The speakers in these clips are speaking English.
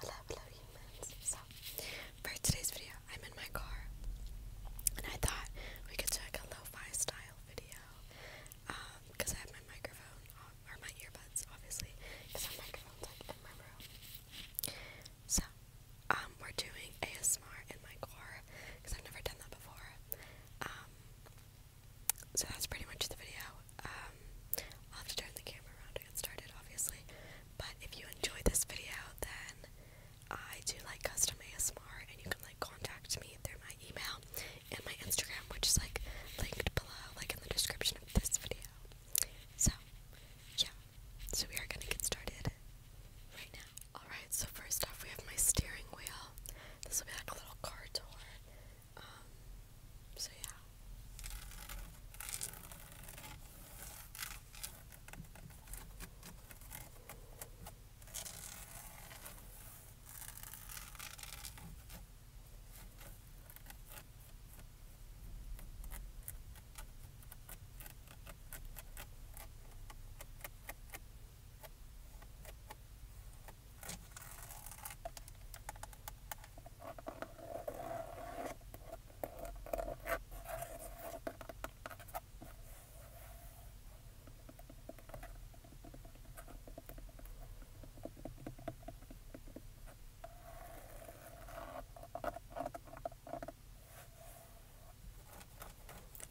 Hello, hello, hello humans. So, for today's video, I'm in my car and I thought we could do like a lo-fi style video because um, I have my microphone, or my earbuds obviously, because my microphone's like in my room. So, um, we're doing ASMR in my car because I've never done that before. Um, so that's pretty much the video. Um, I'll have to turn the camera around to get started, obviously. But if you enjoyed this video, then I do like custom ASMR, and you can like contact me through my email and my Instagram, which is like linked below, like in the description of this video. So, yeah. So we are gonna get started right now. Alright, so first off, we have my steering wheel. This will be like a little car tour. Um, so yeah.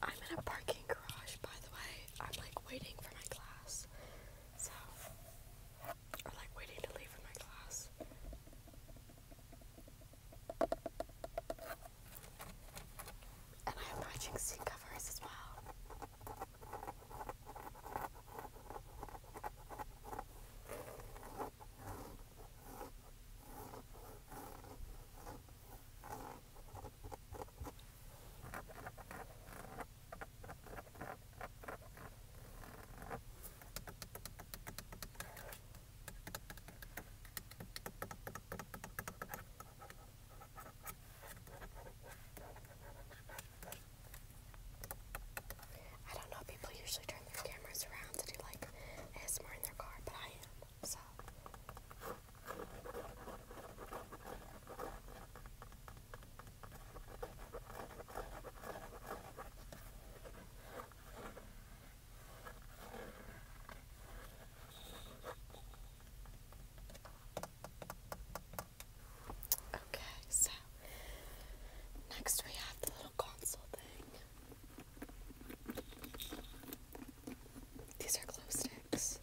I'm in a parking garage, by the way. I'm like waiting for my class. So, or like waiting to leave for my class. And I have matching seat covers as well. I don't know, people usually turn their cameras around to do like ASMR in their car, but I am, so. Okay, so next we have the little console thing. These are glow sticks.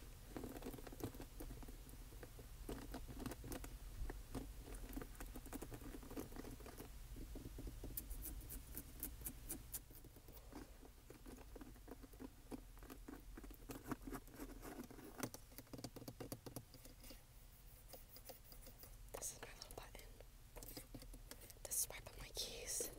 This is my little button. This is where I put my keys.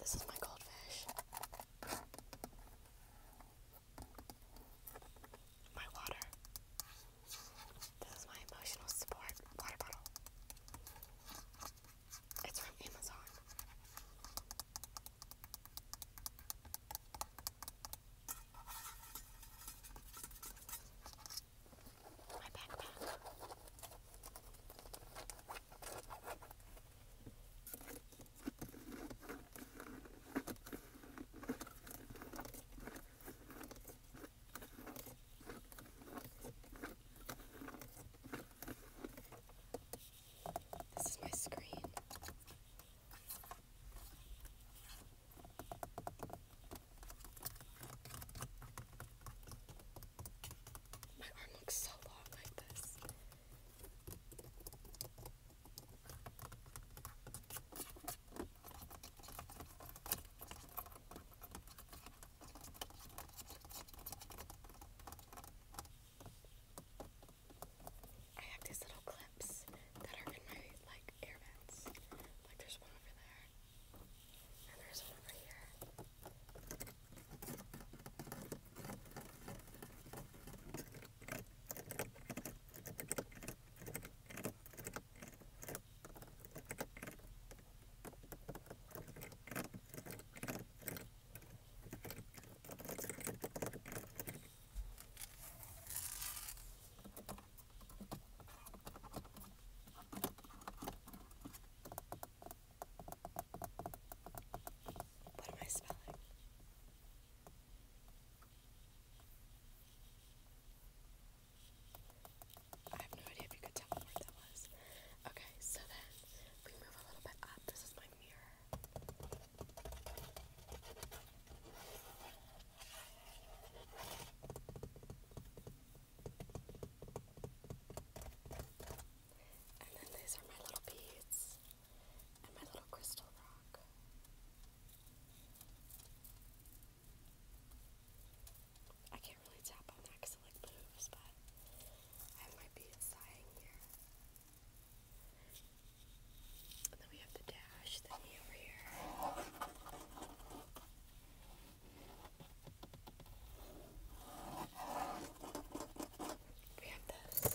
This is my goldfish my water. This is my emotional support water bottle. It's from Amazon. My backpack. This is my screen. My arm looks so long like this. I have these little clips that are in my like air vents. Like there's one over there. And there's one over here. What am I spelling? I have no idea if you could tell what that was. Okay, so then we move a little bit up. This is my mirror. And then these are my little beads and my little crystal rock. I can't really tap on that because it like moves, but I have my beads here. And then we have the dash thingy over here. We have this.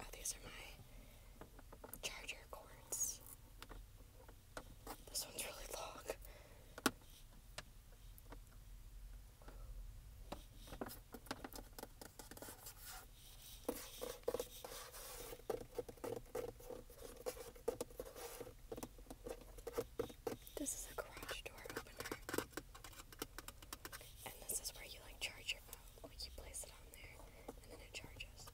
Oh, these are my charger cords. This one's really long. This is a garage door opener. And this is where you like charge your phone like you place it on there and then it charges.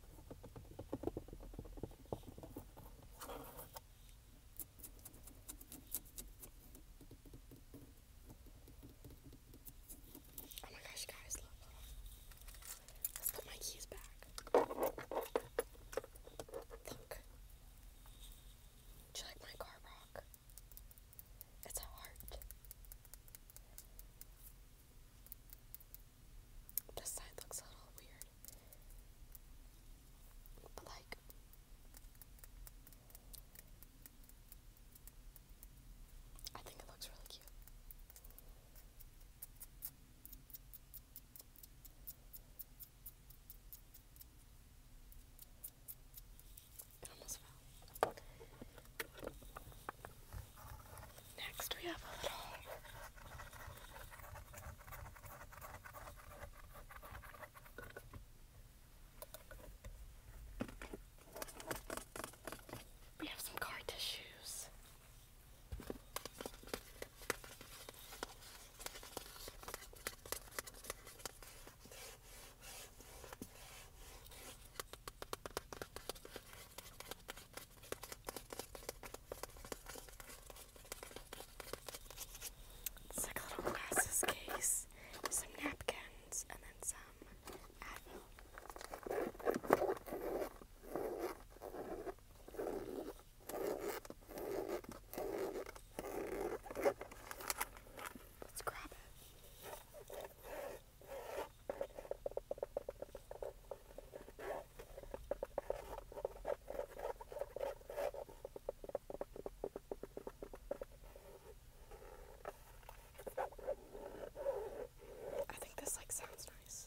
Oh my gosh, guys, Let's put my keys back. Look. Do you like my car rock? It's a heart. This side looks a little weird. But like I think it looks really cute. Next, we have we have some card tissues. It's like a little glasses case, some napkins, and then some Advil. Let's grab it. I think this like sounds nice.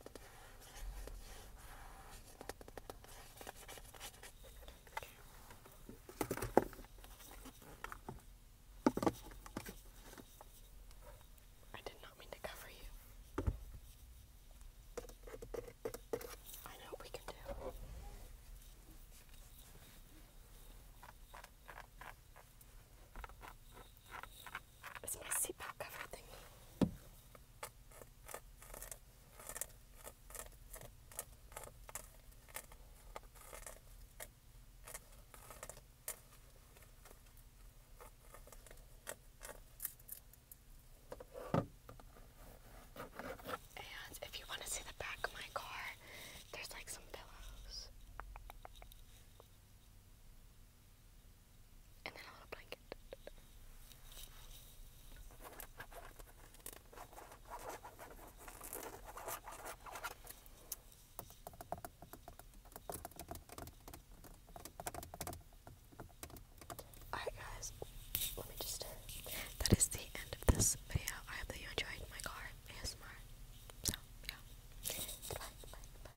I did not mean to cover you. I know we can do. Is my seatbelt cover And if you want to see the back of my car, there's like some pillows. Alright guys, let me just, that is the end of this video. I hope that you enjoyed my car ASMR. So, yeah. Bye, bye, bye.